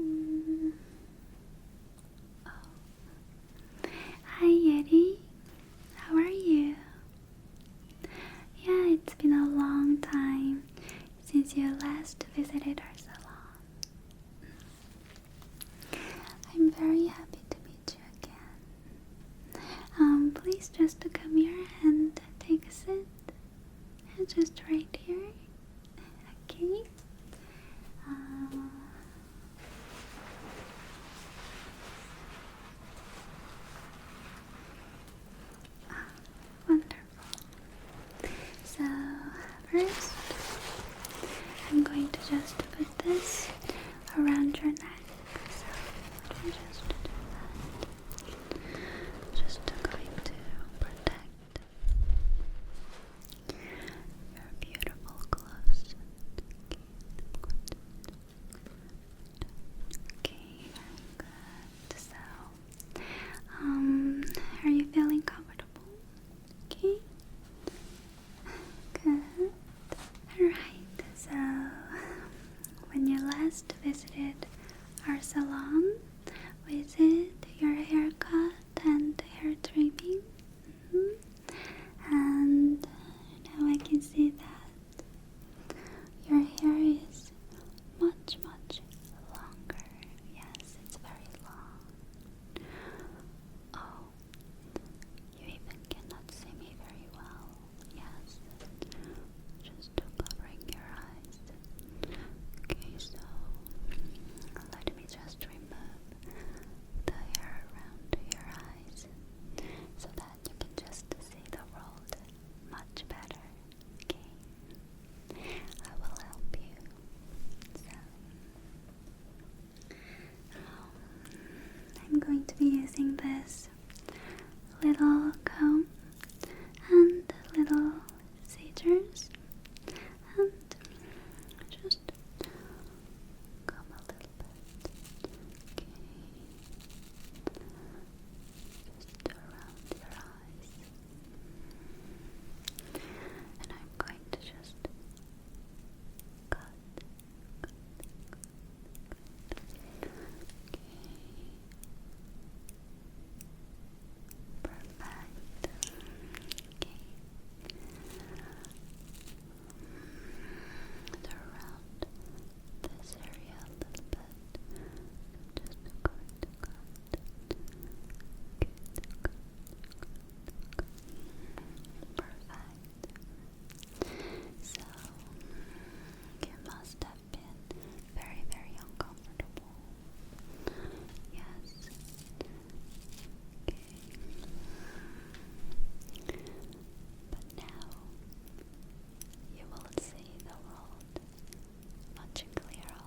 Mm. Oh. Hi Yeti, how are you? Yeah, it's been a long time since your last visited our salon. I'm very happy to meet you again. Um, please just to come here and take a sit and just right here. Okay. Uh, wonderful. So, first, I'm going to just put this around your neck. So, just just going to protect your beautiful gloves. Okay, good. So, um, are you feeling comfortable? Okay. Good. Alright, so when you last visited our salon, with it, your haircut and hair trimming. Mm-hmm. And now I can see that your hair is much, much longer. Yes, it's very long. Oh, you even cannot see me very well. Yes, just covering your eyes. Okay, so let me just remove the hair around your eyes so that you can just see the world much better. Okay, I will help you. So, um, I'm going to be using this little comb and little scissors and just a little bit. Okay. Just around your eyes. And I'm going to just cut, Perfect. Okay. around this area a little bit. Just going to Good, Perfect. So you must have been very, very uncomfortable. Yes. Okay. But now you will see the world much clearer.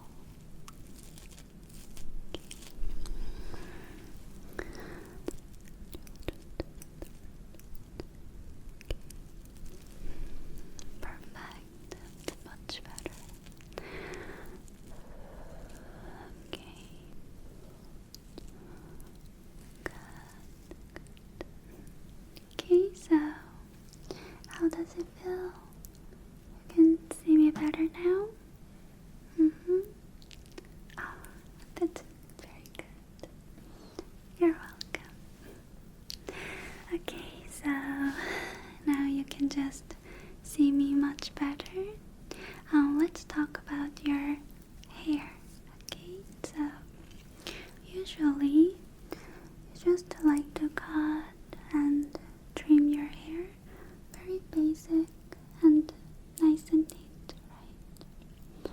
Perfect much better. Okay. Good. Okay, so how does it feel? You can see me better now? hmm Oh, that's very good. You're welcome. Okay, so now you can just see me much better. Um, let's talk about your hair. Okay, so usually you just like to cut and trim your hair very basic and nice and neat, right?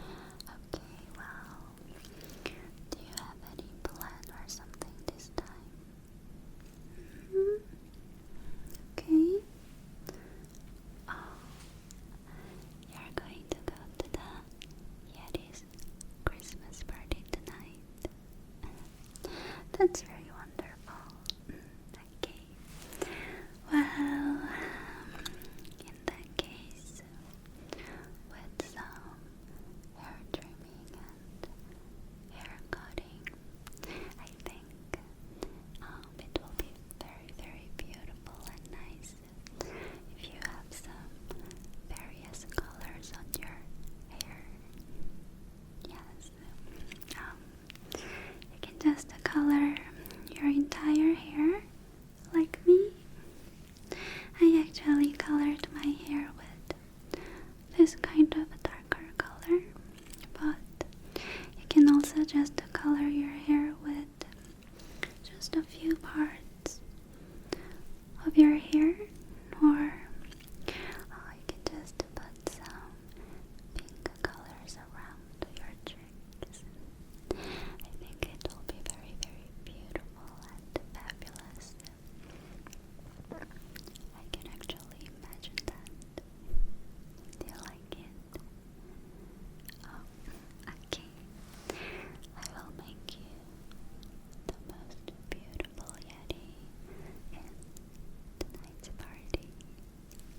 Okay, well, do you have any plan or something this time? Mm-hmm. Okay. Oh, you're going to go to the Yeti's Christmas party tonight. That's very wonderful. Mm, okay. Well, um, in that case, with some hair hair cutting. I think um, it will be very, very beautiful and nice if you have some various colors on your hair. Yes, um, you can just color your entire hair like me. I actually colored my hair with this kind of a darker color but you can also just color your hair with just a few parts of your hair or uh, can just put some pink colors around your cheeks I think it will be very very beautiful and fabulous I can actually imagine that. Do you like it? Oh, okay. I will make you the most beautiful Yeti in tonight's party.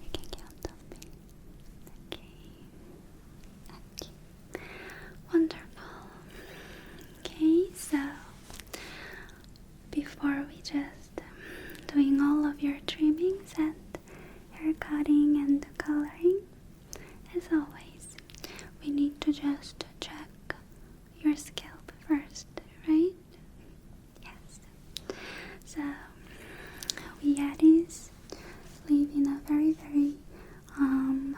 You can count on me. Okay. Okay. Wonderful. Okay, so before we just um, doing all of your trimmings and haircutting and coloring, as always, we need to just check your scalp first, right? Yes. So we Yetis live in a very, very, um,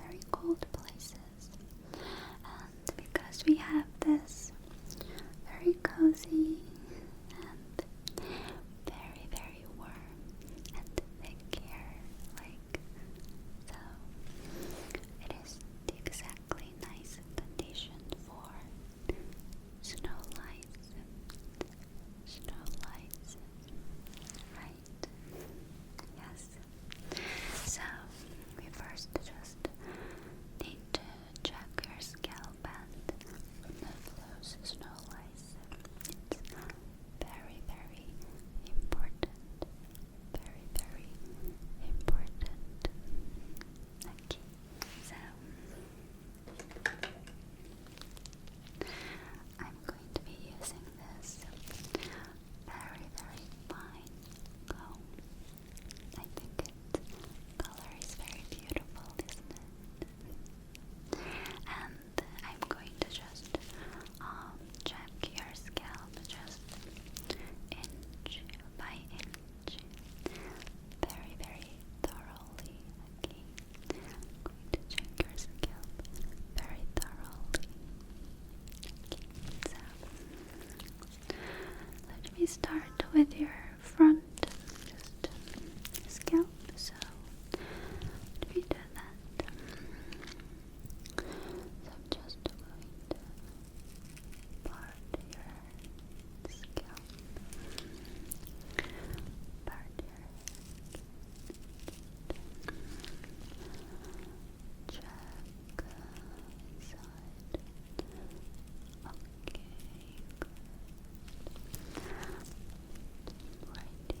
very cold places. And because we have this very cozy and very, very warm and thick hair, like so, it is the exactly nice condition for snow lights. Snow lights, right? right? Yes. So we first just need to check your scalp and the flows is no It's very, very important. Very, very important. Okay. So going to be using this very, very fine comb. I think its color is very beautiful, isn't it? And I'm going to just um, check your scalp just inch by inch, very, very thoroughly. I'm going to check your scalp very thoroughly let me start with your front, just scalp. So, let me do that. I'm just going to part your scalp. Part your Check Good side. Okay, Right here. Okay. Right here. Very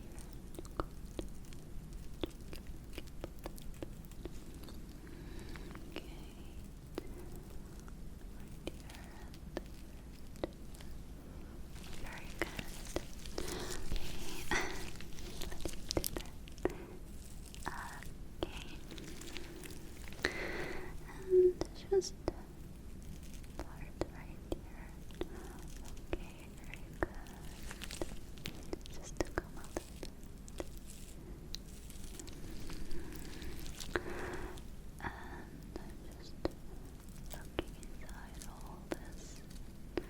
good. Okay. Let's do that. Okay. And just part right here. Okay, very good. Just to come out a bit. And just looking inside all this Okay,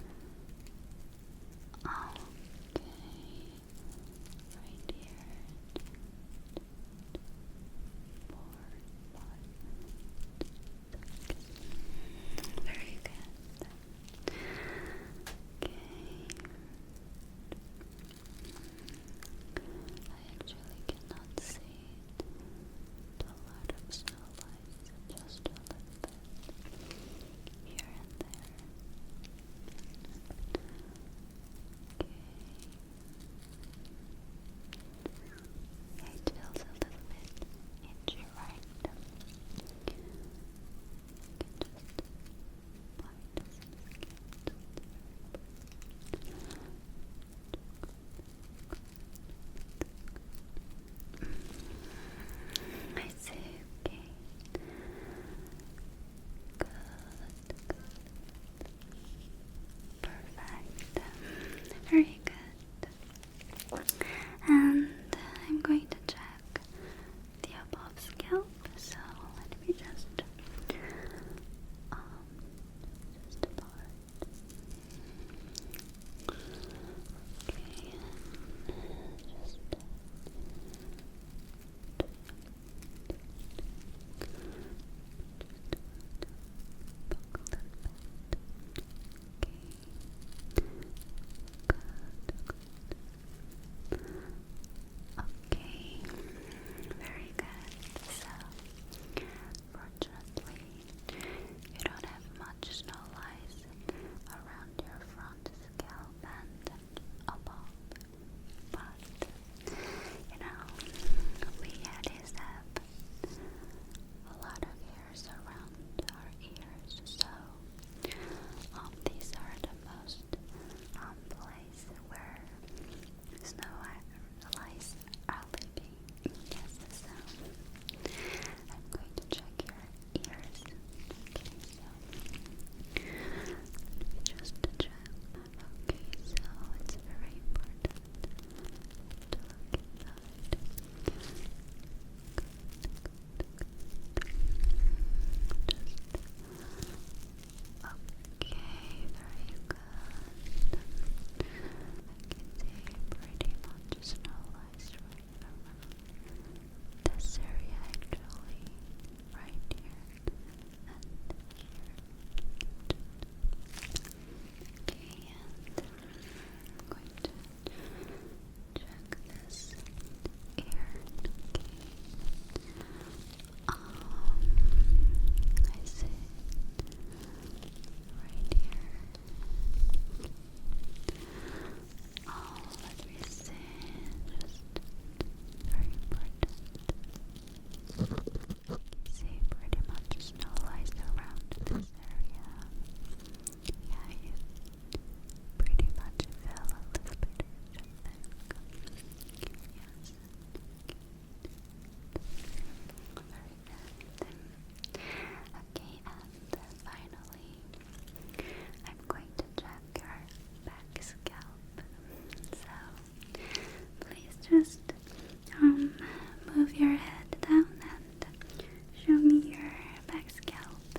right here. More blood. Very good. Okay. I actually cannot see a lot of snow just a little bit here and there. Okay. It feels a little bit itchy, right? You can just apply I say okay. Good, good. Perfect. Very good. And I'm going to check the above scalp. So let me just um just part. Okay, just Okay, very good. So, fortunately, you don't have much snow lice around your front scalp and above. But you know, we Yetis have a lot of hairs around our ears, so um, these are the most um, where snow lice are living. Yes, so I'm going to check your ears. Okay, so let me just check. Okay, so it's very important to look at Just okay, very good. I can see pretty much snow lies right this area actually, right here and here. Okay, and I'm going to check this ear. Um, I see. Right here. Oh, let me Just very important. See, pretty much snow lies around this area. Yeah, you pretty much fell a little bit, I think. Yes. Very good. Okay, and uh, finally, I'm going check your back scalp. So please just um, move your head down and uh, show me your back scalp.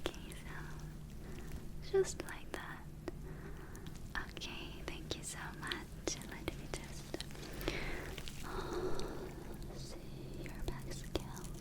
Okay, so just like that. Okay, thank you so much. Let me just uh, see your back scalp.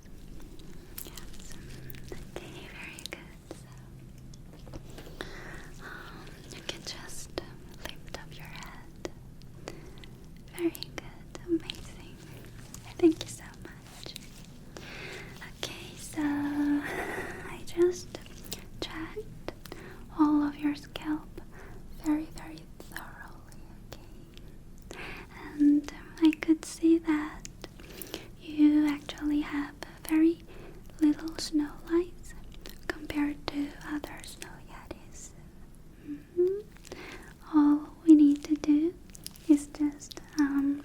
Okay, very good. you can just lift up your head. Very good, amazing. Thank you so much. Okay, so I just checked all of your scalp very, very thoroughly. Okay, and I could see that you actually have very little snow lights compared to other snow yetis. Mm-hmm. All we need to do is just um,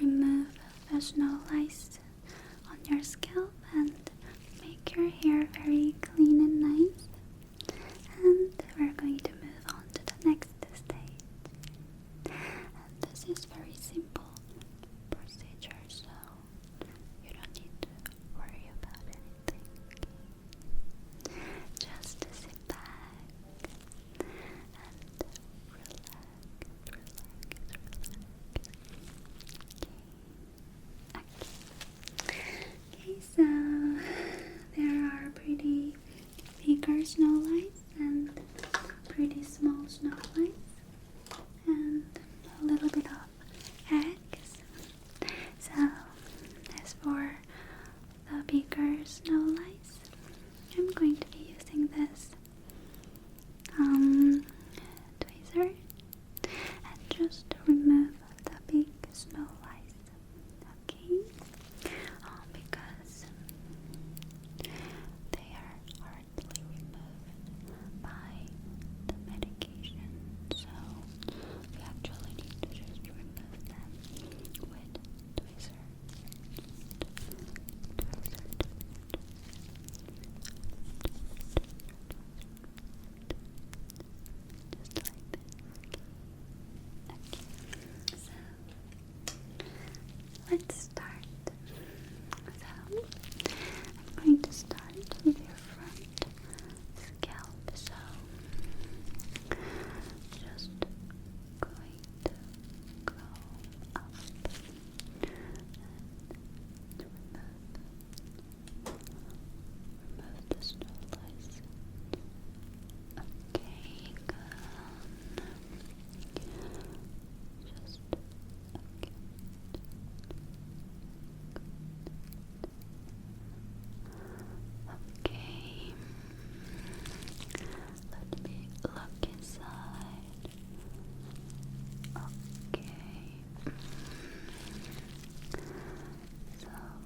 remove the snow lights on your scalp and make your hair very clean and nice. And we're going to move on to the next stage. this is very simple procedure, so you don't need to worry about anything. Just sit back and relax, relax, relax. Okay. Okay. Okay, so there are pretty bigger snow lights and pretty small snow lights and a little bit of eggs. So as for the bigger snow lights, I'm going to be using this um and just remove the big snow lights okay? Um, because they are hardly removed by the medication, so we actually need to just remove them with tweezer. Just like this. Okay, so let's start. So I'm going to start with your front scalp. So just going to go up and remove, the snow Okay, Just okay. Okay. Let me look inside. Okay. So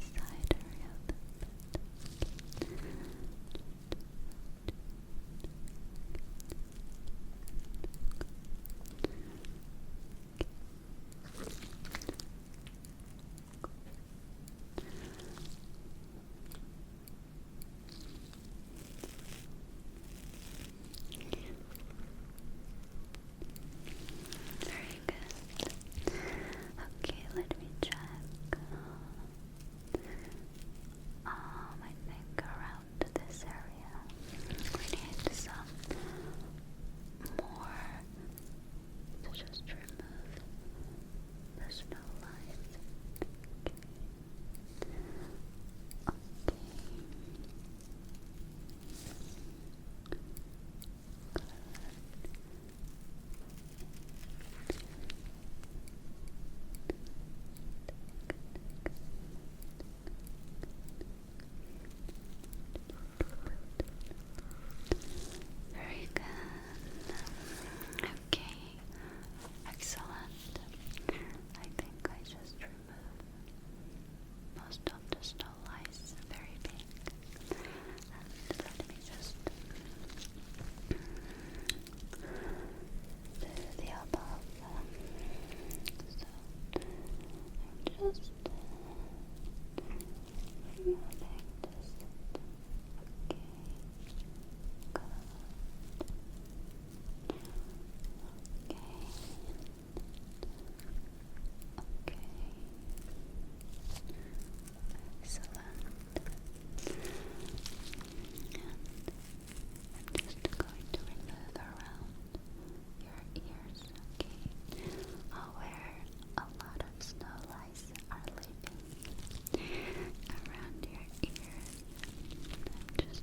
side area a little very good. Okay, let me check. Um, I think around this area we need some more to just remove the snow lines. Okay. Very good. Okay. Excellent. I think I just removed most of the lice very big. And let me just do the above. So I'm just removing Okay. Good. Okay. Okay. Excellent. I'm just going to remove around your ears, okay? Oh, where a lot of snow lice are living around your ears. I'm just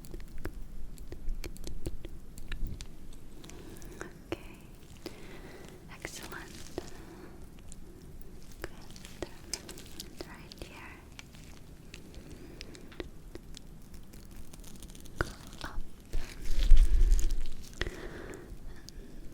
Okay. Excellent. Good. Right here. Go up and remove. Okay.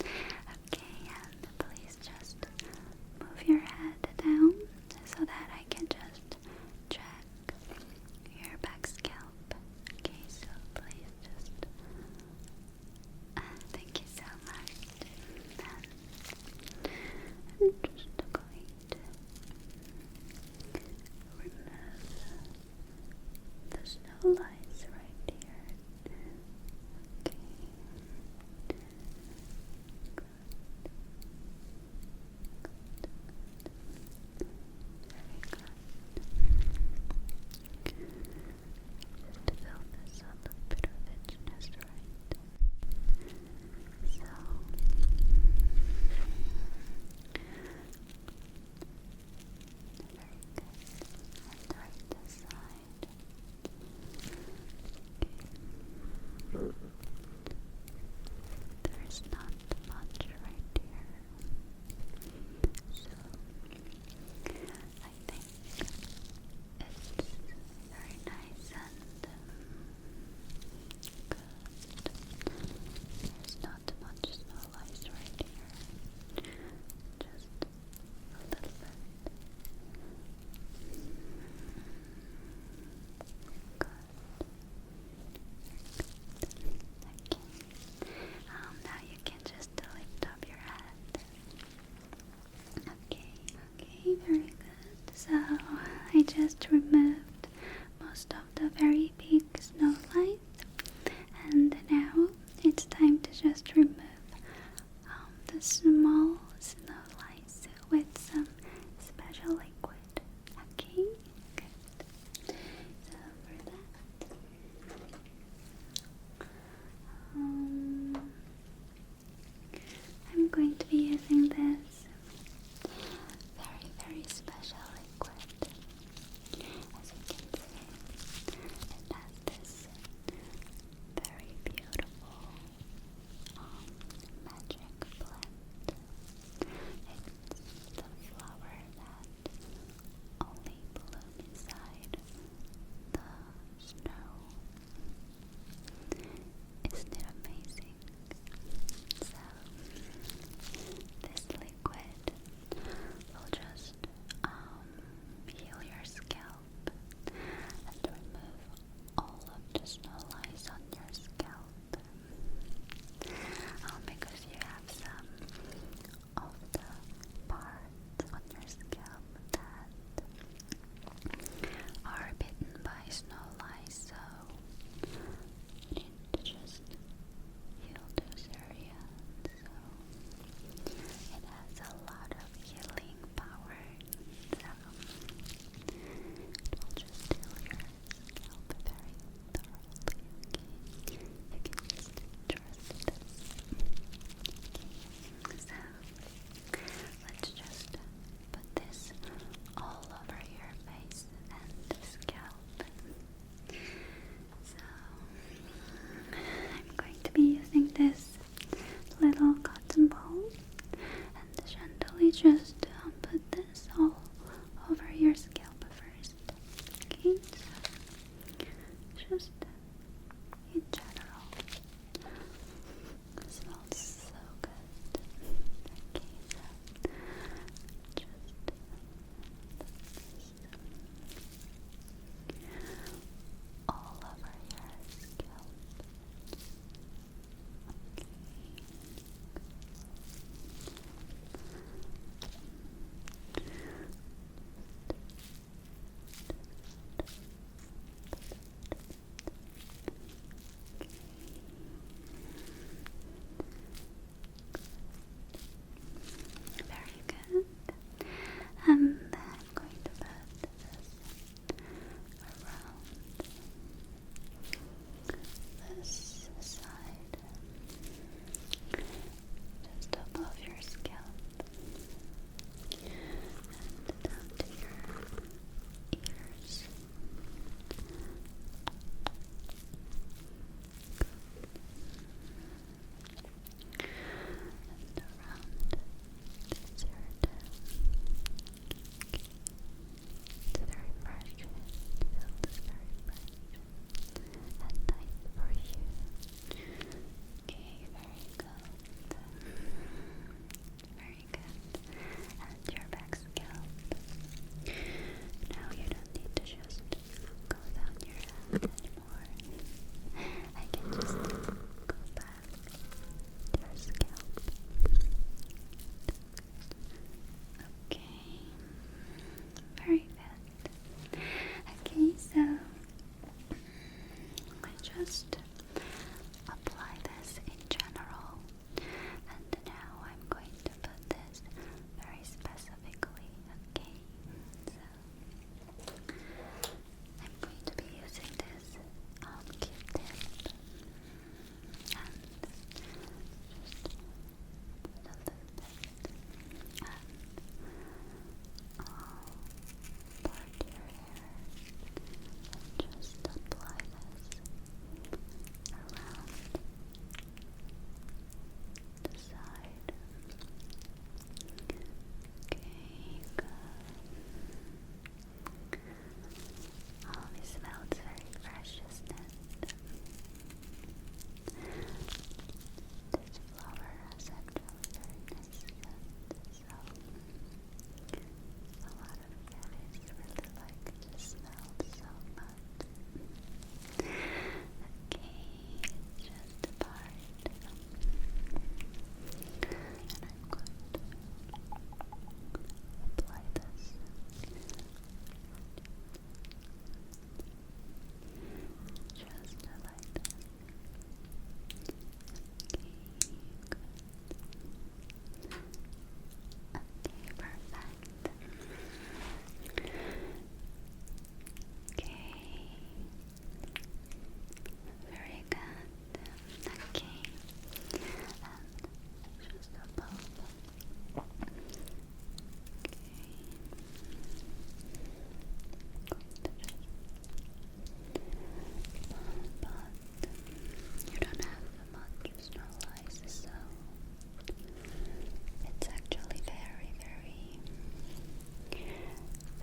Okay, and please just move your head down so that I can just check your back scalp. Okay, so please just. Ah, thank you so much. I'm just going to remove there's no lights right here. Okay. Just fill this up a bit of it right. So and right this side. There's not much right here. So I think it's very nice and good. There's not much snow right here. Just Okay. Um, now you can just lift up your head. Okay, okay, very good. So I just removed most of the very big snowflakes. And now it's time to just remove um, the small snow lines with some special liquid. Okay, So for that, um, I'm going to be using this very, very special liquid. As you can see, it has this very beautiful um, magic blend. It's the flower that only bloom inside the snow. Isn't it amazing? So, this liquid will just um, heal your scalp and remove all of the snow lies on your scalp um, because you have some of the parts on your scalp that are bitten by snow lice so you need to just heal those areas so it has a lot of healing power. So it will just heal your scalp very thoroughly. you can just trust this. so let's just put this all over your face and scalp. So I'm going to be using this little cotton ball and gently just put this all over your scalp first. just in general. smells so good. just all over your scalp. Very good and then I'm going to put this around this side just above your scalp and down to your ears. And It's very fresh. It very fresh at night for you. Okay, very good. Very good. And your back scalp. Now you don't need to just go down your head anymore. I can just go back to your scalp. Okay, very good. Okay, so I just apply this in general, and now I'm going to put this very specifically. Okay, I'm going to be using this um, q and uh, just a little bit and part your hair and just apply this around the side. Okay, good. Always smells very fresh, This flower has actually very nice scent, so a lot of fairies really like the smell so much. Okay, just a part. And I'm going to apply this. Just like that. Okay, Okay, perfect. Okay, very good. Okay. just above. Okay. But you don't have much snow lice, so it's actually very, very very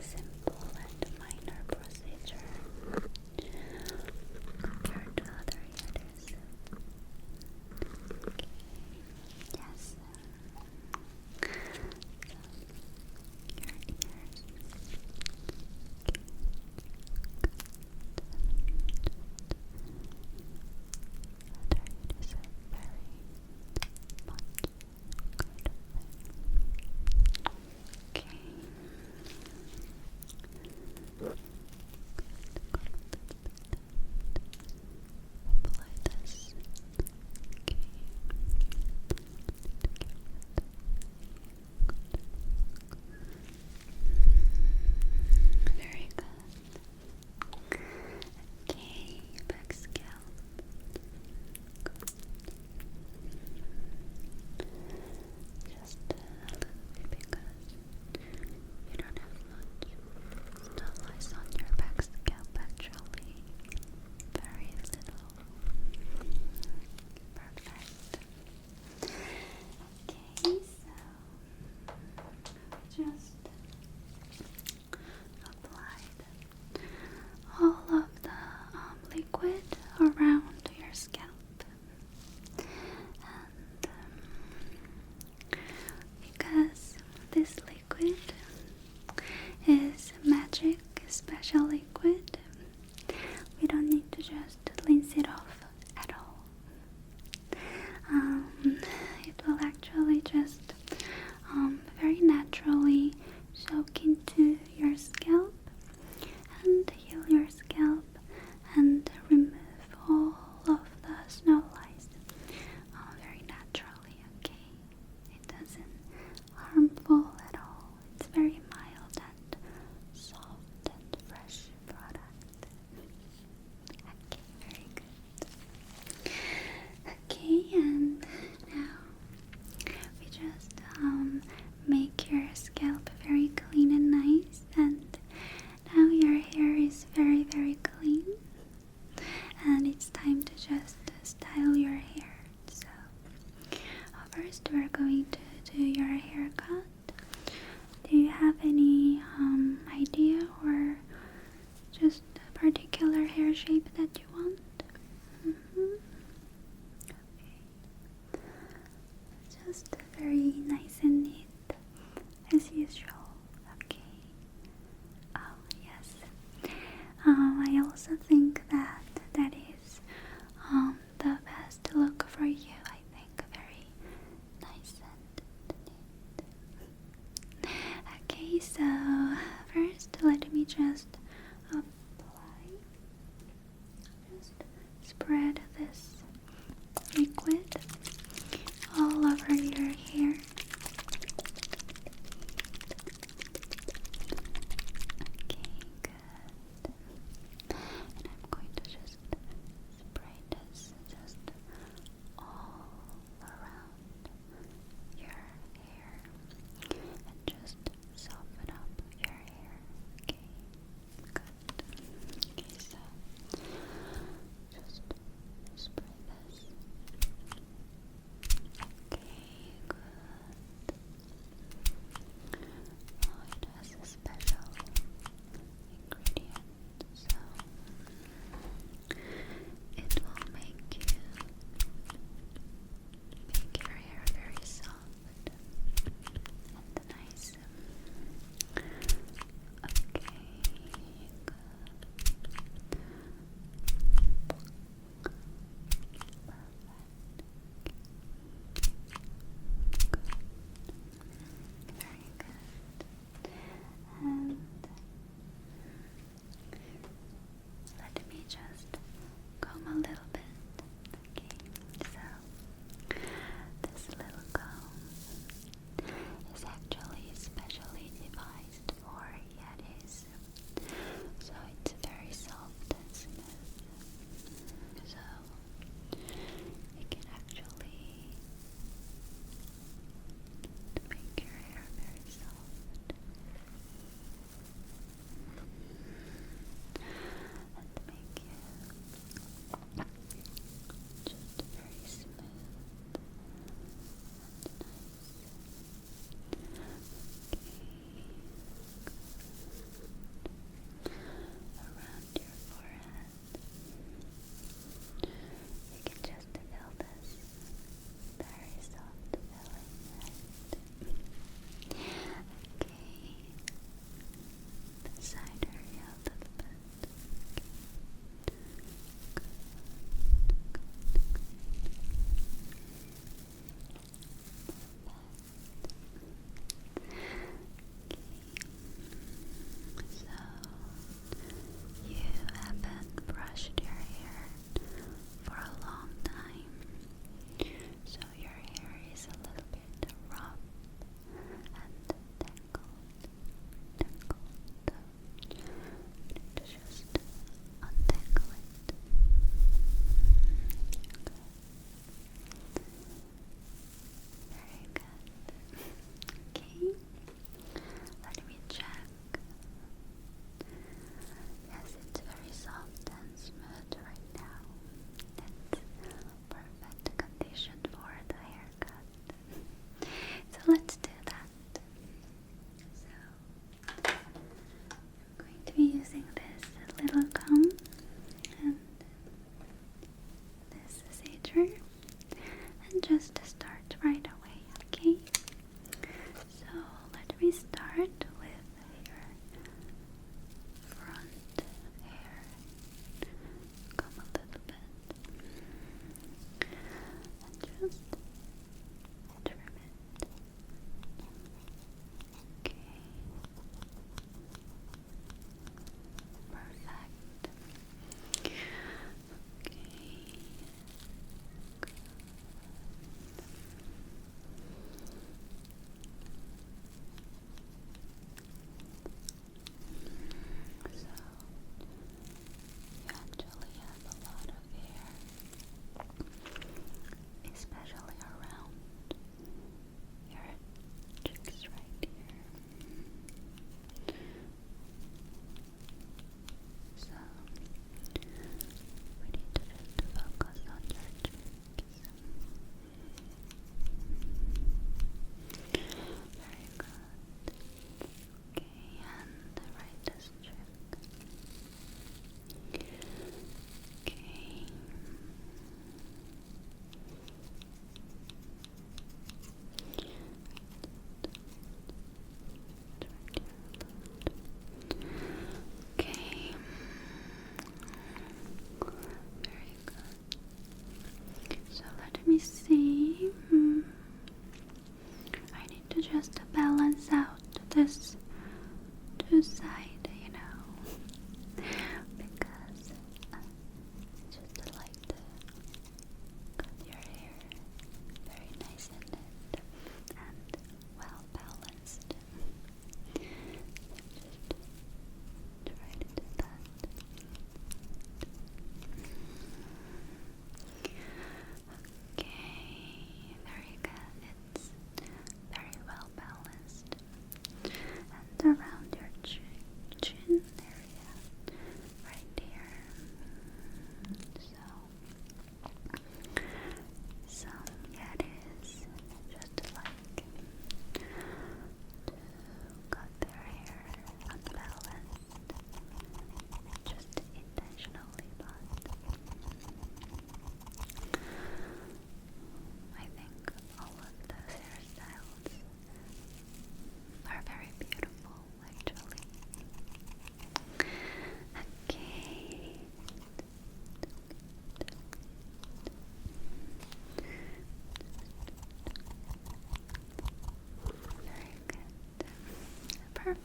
simple and minor procedure compared to other eaters. Yes. your ears. Other eaters are Very Okay. Apply this. Okay. Very good. Okay, back scalp down. Just because you don't have much snow lice on your back scalp actually. Very little. Perfect. Okay, so just apply all of the um, liquid around your scalp, and um, because this liquid is magic special liquid, we don't need to just rinse it off at all. Um, it will actually just um, very naturally soak into your scalp and heal your scalp and remove all of the snow lice uh, very naturally, okay? It doesn't harmful at all. It's very mild and soft and fresh product. very good. Okay, and now we just um, make your scalp very clean and nice, and now your hair is very, very clean, and it's time to just style your hair. So, first, we're going to do your haircut. Do you have any um, idea or just a particular hair shape that you want. Mm-hmm. Okay. Just very nice and neat, as usual. Okay. Oh yes. Um, I also think that that is um, the best look for you. I think very nice and neat. Okay, so first let me just just apply, just spread this liquid all over your hair. Okay, good. And I'm going to just spray this just all around your hair and just soften up your hair. Okay, good. Okay, just spray this. Okay, good. it has a special ingredient, so. It will make you make your hair very soft and nice. Okay, good. Good. Very good. And let me just comb a little bit. Okay, so this little comb is actually specially devised for Yetis. So it's very soft So you can actually make your hair very soft and make you just very smooth Around your forehead, you can just feel this very soft feeling, right? okay, side area a little bit. Okay. Good, good, good. Okay. So you haven't brushed your hair for a long time. So your hair is a little bit rough and tangled. Tangled. But just untangle it. Very good. Okay. Let me check Yes, it's very soft and smooth right now. It's perfect condition for the haircut. so let's do that. So I'm going to be using this little comb and this sager and just start right away, okay? So let me start with your front hair. Come a little bit and just trim it. Okay. Perfect. Okay you actually have a lot of hair, especially around your cheeks right here. So, we need to just focus on your cheeks. Very good. Okay, and right this cheek. Okay. Okay. Very good. So let me see. Hmm. I need to just balance out this two side, you know, because uh, just like the your hair very nice in it well balanced. So just try to do that. Okay, there you go. It's very well balanced. And around your chin, chin area, right here. So some yetis just like cut their hair unbalanced, just intentionally, but I think all of those hairstyles are very beautiful, actually. Okay. Very good. Perfect.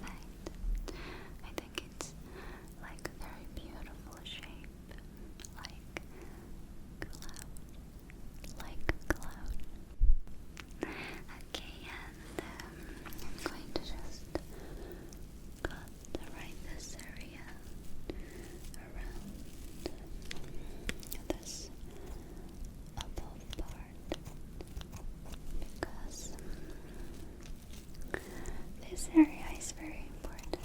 I think it's like a very beautiful shape. Like cloud. Like cloud. Okay, I'm going to just cut right this area around this above part because this area is very important.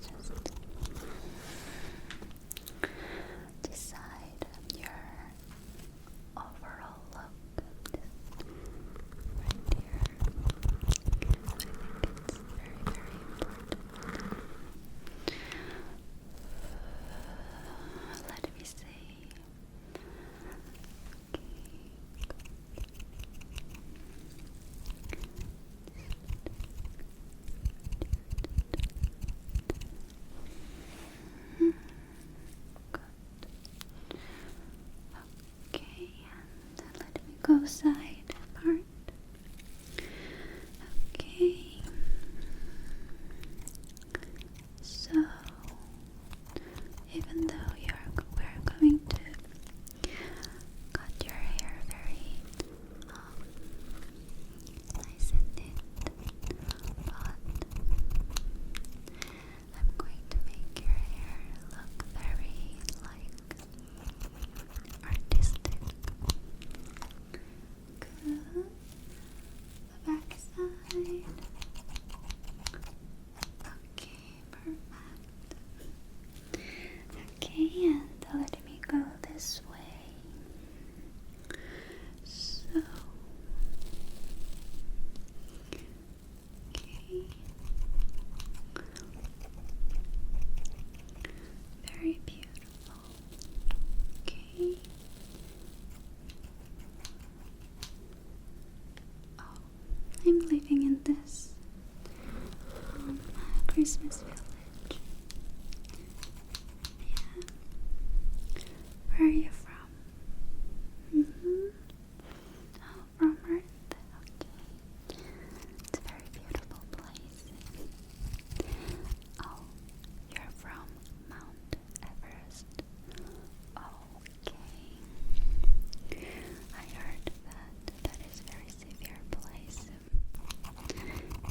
Just decide your overall look right here. I think it's very, very important. let me see. Okay. Okay, and let me go side part. Okay, so even though you're we're going to cut your hair very um, nice and neat, but I'm going to make your hair look very like artistic. The back Okay, perfect. Okay, and uh, let me go this way. So Okay. Very beautiful. Okay. Oh, I'm living in this um, Christmas village. Yeah. Where are you from? Mm -hmm. Oh, from Earth. Okay. It's a very beautiful place. Oh, you're from Mount Everest. Okay. I heard that that is a very severe place.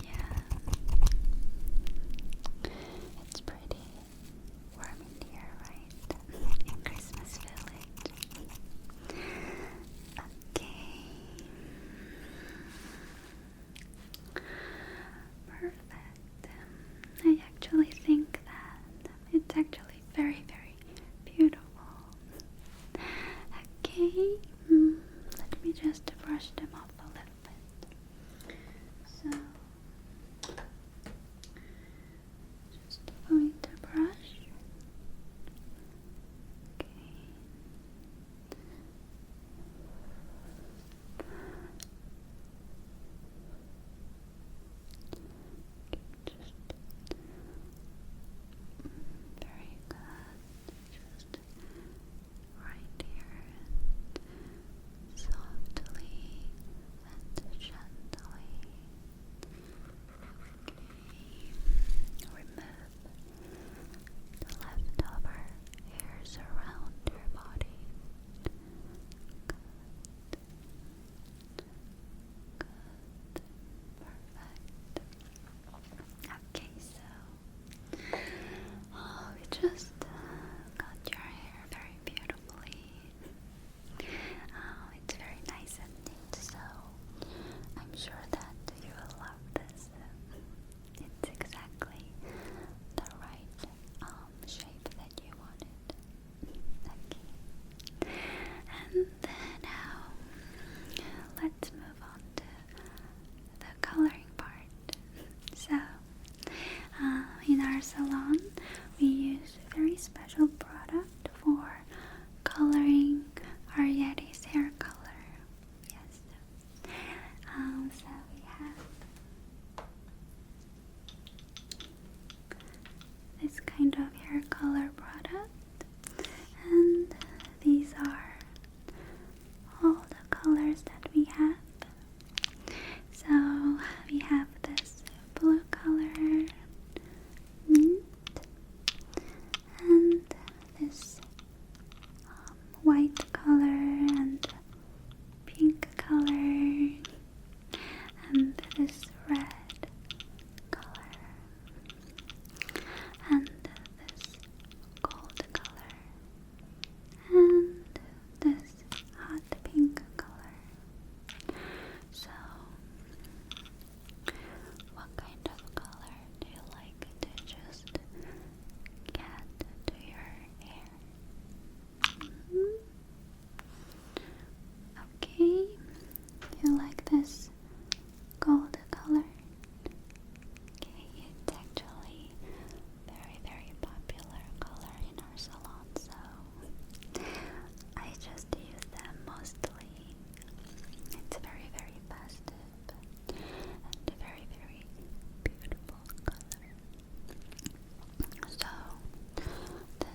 Yeah. It's pretty warm in here, right? in Christmas Village. okay. Perfect. I actually think that it's actually very, very beautiful. Okay, hmm, let me just brush them off a little bit. So, just avoid the brush. Okay, just very good. Just right here softly and gently. Remove the leftover hairs around your body. Perfect. Okay, so oh, just uh, your hair very beautifully. Oh, it's very nice and so I'm sure that you will love this. It's exactly the right um, shape that you wanted. Okay. And then now let's move on to the coloring part. So uh, in our salon, we use very special product for coloring our Yeti's hair color. Yes. Um, so we have this kind of hair color product, and these are all the colors that we have so we have this blue color and this um, white color and pink color and this red color and this gold color and this hot pink color. So, what kind of color do you like to just get to your hair? Mm-hmm. Okay, you like this gold color? Okay, it's actually very very popular color in our salon so I just use them mostly. It's very, very festive and a very, very beautiful color. So,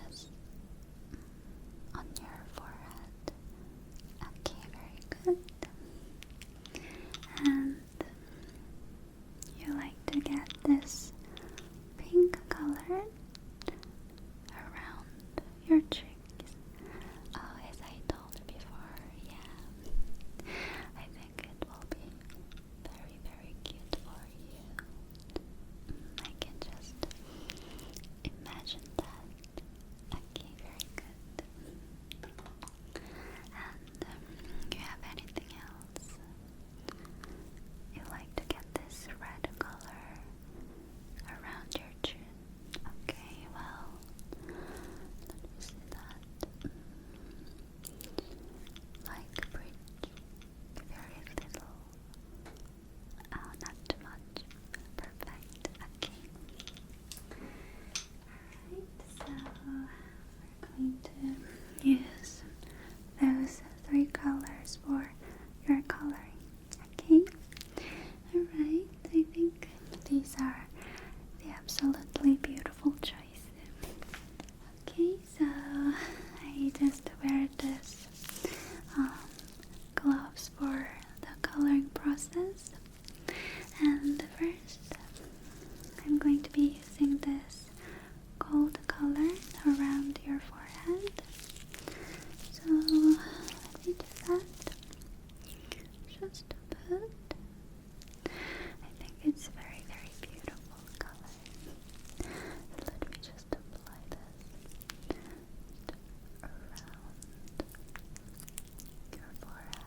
this on your forehead. Okay, very good. And you like to get this pink color around your cheeks. Oh, as I told before, yeah. I think it will be very, very cute for you. Mm, I can just imagine that. Okay, very good. And um, do you have anything else? You like to get this red color around your chin. Okay, well, see that. Like bridge, very little. Oh, not too much. Perfect. Okay. Alright, so we're going to use those three colors for your coloring. Okay? Alright, I think these are the absolutely beautiful choices. Okay, so I just wear this um, gloves for the coloring process. And first, I'm going to be using this gold color around your forehead. So let me do that. Just a bit. I think it's very, very beautiful color. let me just apply this around your forehead.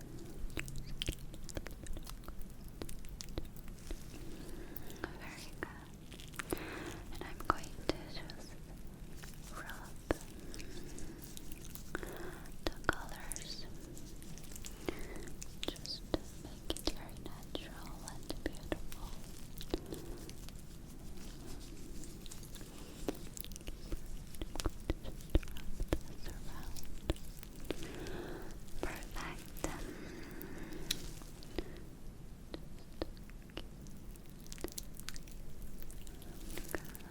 Very good. And I'm going to just rub the colors. Just make it very natural and beautiful. Just wrap this around. Perfect.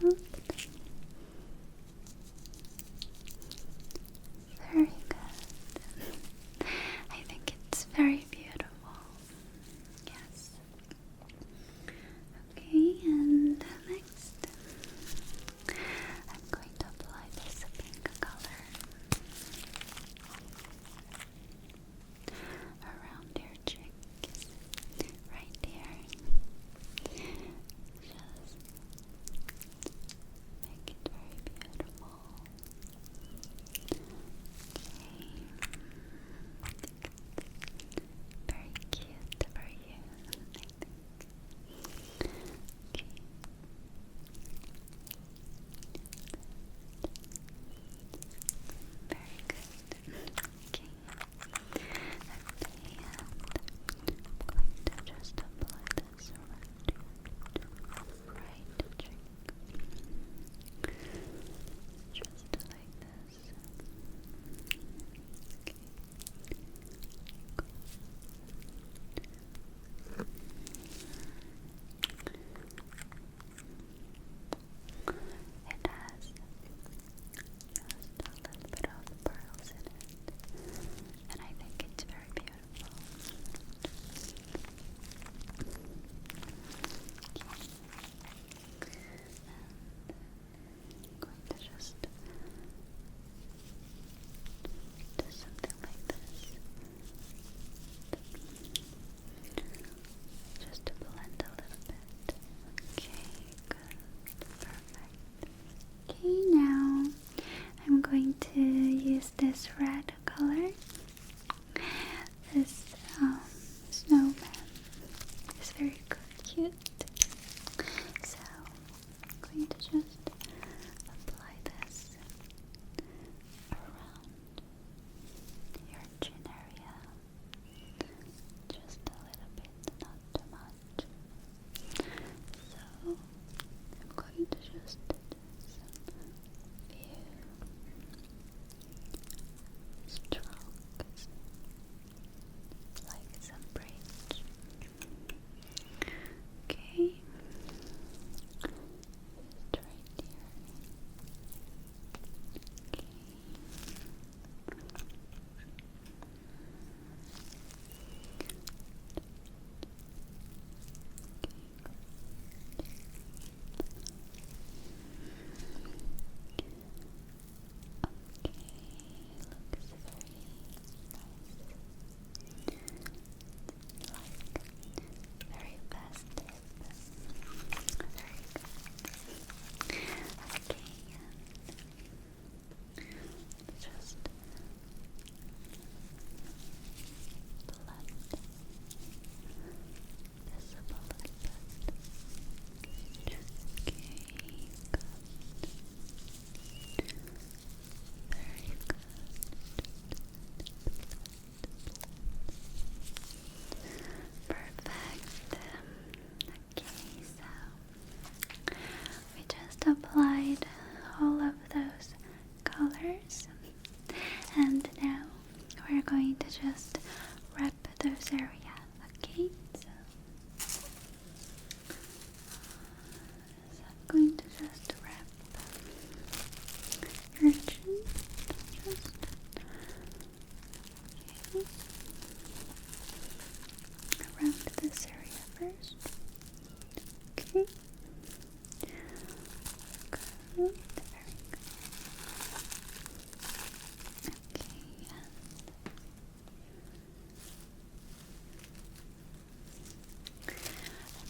Good. Very good. I think it's very beautiful. Yes. Okay, and next. I'm going to apply this pink color around your cheeks, right here. Just make it very beautiful. Okay. Very cute for you. Okay. Very good. Okay. I'm going to just apply this right cheek. Just like this. It has just a little bit and I think it's very beautiful. Uh, just do something like this. Just to blend a little bit. Okay, good. Perfect. Okay, now I'm going to use this red color. This um, snowman is very cute. So I'm going to just apply this around your chin area. Just a little bit, not too much. So I'm going to just do strokes, like some braids. Okay. Just right here. Okay. Okay, looks very nice like very festive. Very good. Okay, and just blood visible a little bit. Okay, good. Perfect. okay, so we just applied all of those colors, and now we're going to just wrap those areas. Okay, I'm going to just wrap your chin. Just around this area first. Okay. Good. Okay, I'm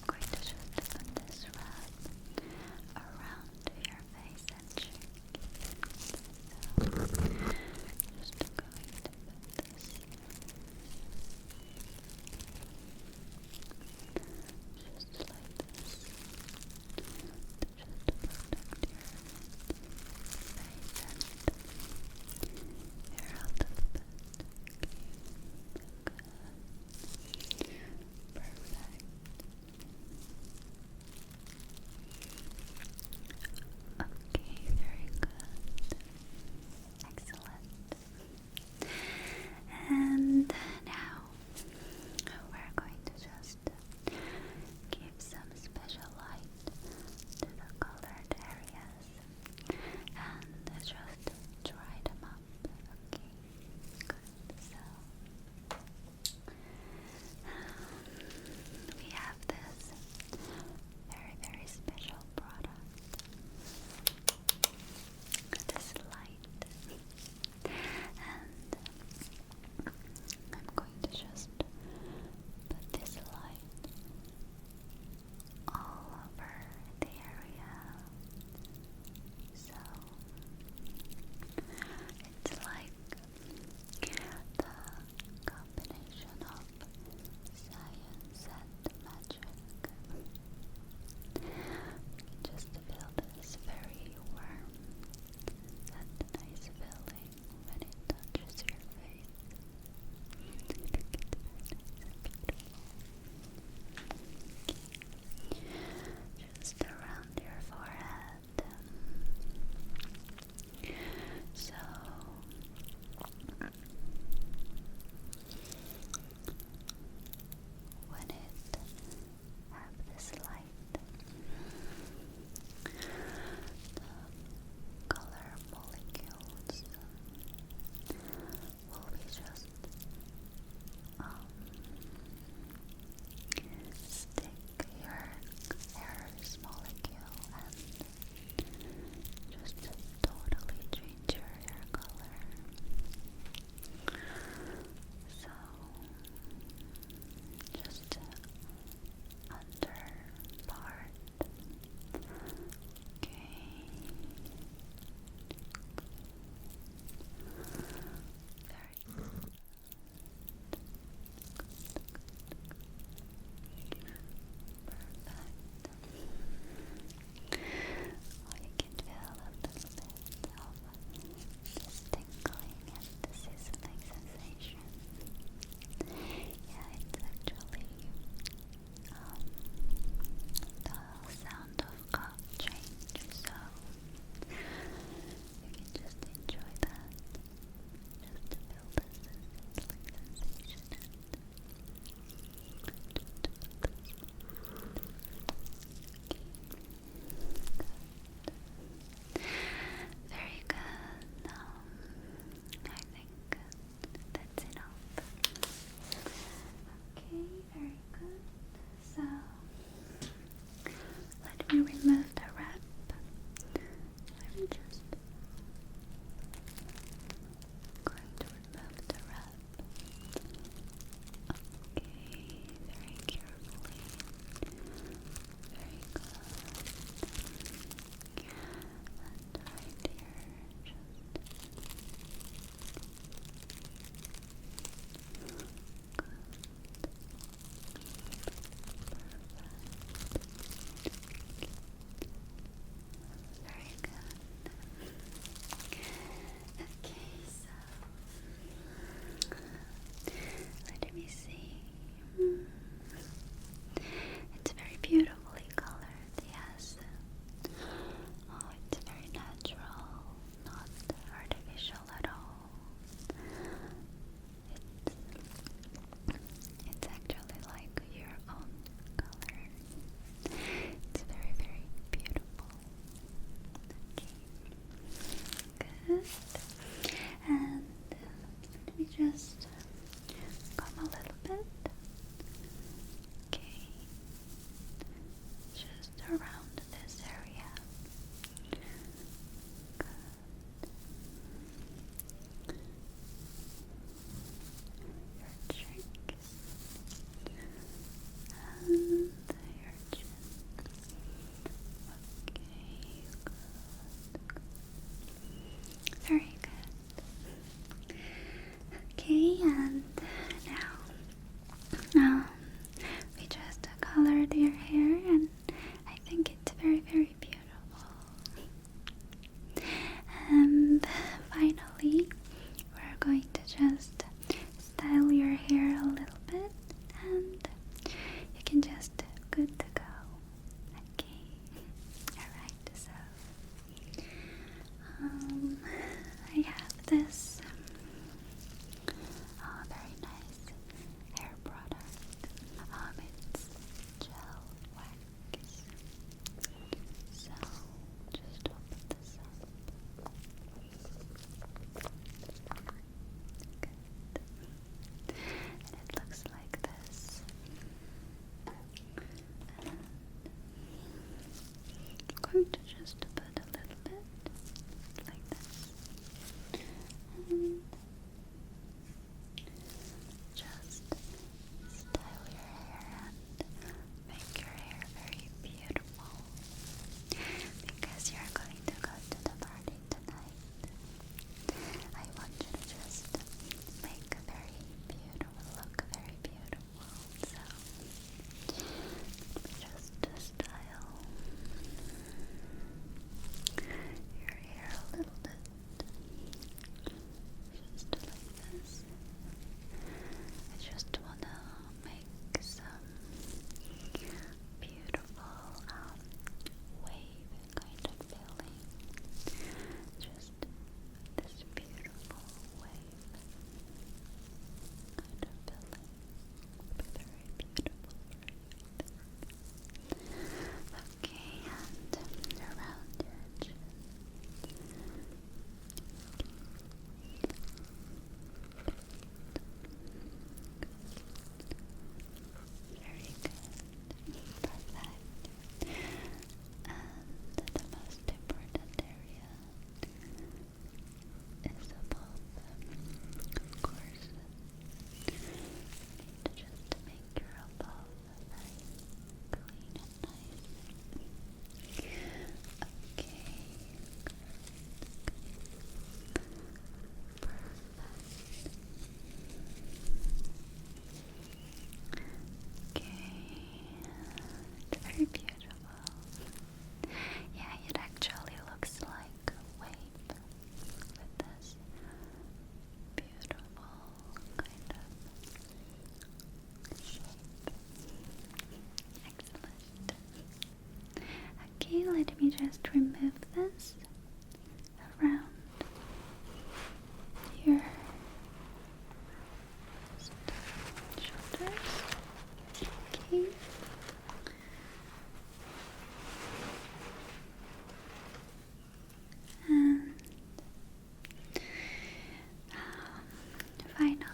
going to just put this rub around your face and cheek. just going to put this just like this. Just to your face and here a Perfect. Okay, very good. Excellent. And now we're going to just give some special light to the colored areas and just dry them up. Okay, So um, we have this very very special product. This light, and I'm going to just put this light all over the area. So it's like the combination of science and magic. Just feel this very warm and nice feeling when it touches your face. Just around your forehead. So when it have this light, color molecules will be just um, stick your hair molecule and just totally change your hair color. So just under part or you can feel a little bit of this tingling and the sizzling sensation. Yeah, it's actually um, the sound of car change, so you can just enjoy that, just to build sensation Very good. I think that's enough. Okay, very good. So let me remove the wrap. Let me just going to remove the wrap. Okay, very carefully. Very good. And right here, just Very good. Okay, so let me see. Hmm. It's very beautifully colored. Yes. Oh, it's very natural, not artificial at all. It's, it's actually like your own color. It's very, very beautiful. Okay. Good. And uh, just uh, come a little bit. Okay, just around this area. Your cheeks and your chin. Okay, Very good. Okay, and now um, we just colored your hair, and I think it's very, very beautiful. And finally, we're going to just style your hair a little bit, and you can just good to go. Okay, alright, so um, I have this um, oh, very nice hair um, it's gel wax. So just open this up. And it looks like this. I'm going to just put a little bit like this. just style your hair and make your hair very beautiful because you're going to go to the party tonight. I want you to just make very beautiful it will look very beautiful. So, just to style your hair a little bit, just like this. I just wanna make some beautiful um, wave kind of feeling. Just just this beautiful wave kind of very beautiful for you. Okay, and around your chin. Very good. Perfect and the most important area is above of course you to make your above very clean and nice okay Perfect. Okay, very beautiful. Yeah, it actually looks like wave with this beautiful kind of shape. Excellent. Okay, let me just remove this around here. And um, finally,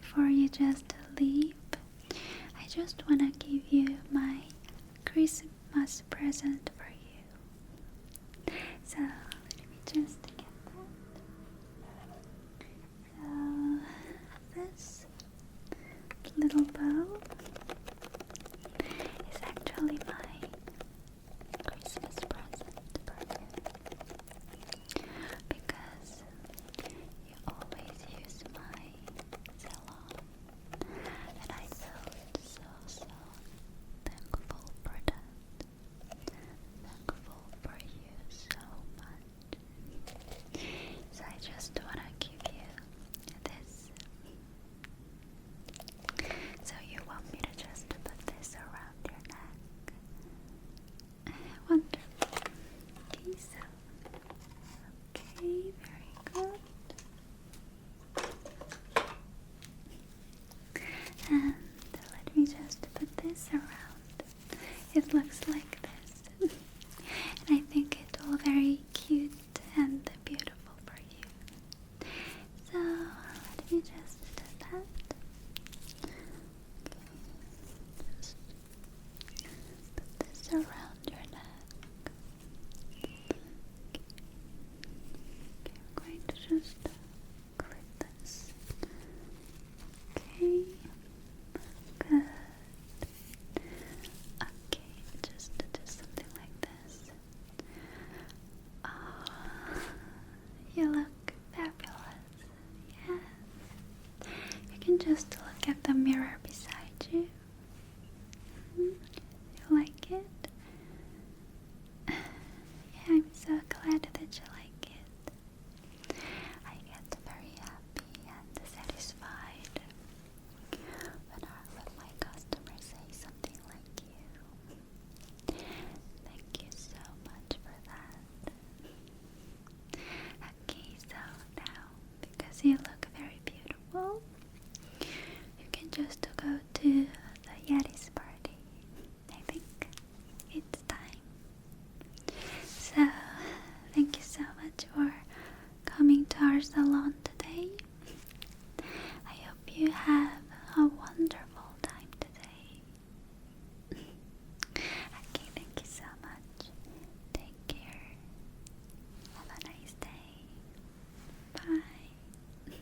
before you just leave, I just want to give you my Christmas present for you. So let me just get that. So this little bow is actually my Christmas present because you always use my salon and I felt so so thankful for that thankful for you so much. So I just wanna give you this. So you want me to just put this around your neck? Wonderful. Okay, so okay, very good. And let me just put this around. It looks like this. and I think it's all very cute and beautiful for you. So let me just do Just put this around your neck. I'm going to just click this. Okay, good. Okay, just do something like this. Oh, you look fabulous. Yes. You can just look at the mirror beside you. -hmm. You like it? I'm so glad that you like it. I get very happy and satisfied when, our, when my customers say something like you. Thank you so much for that. Okay, so now because you look very beautiful, you can just go to the Yeti's party. I think it's time. So, thank you so much for coming to our salon today. I hope you have a wonderful time today. okay, thank you so much. Take care. Have a nice day. Bye.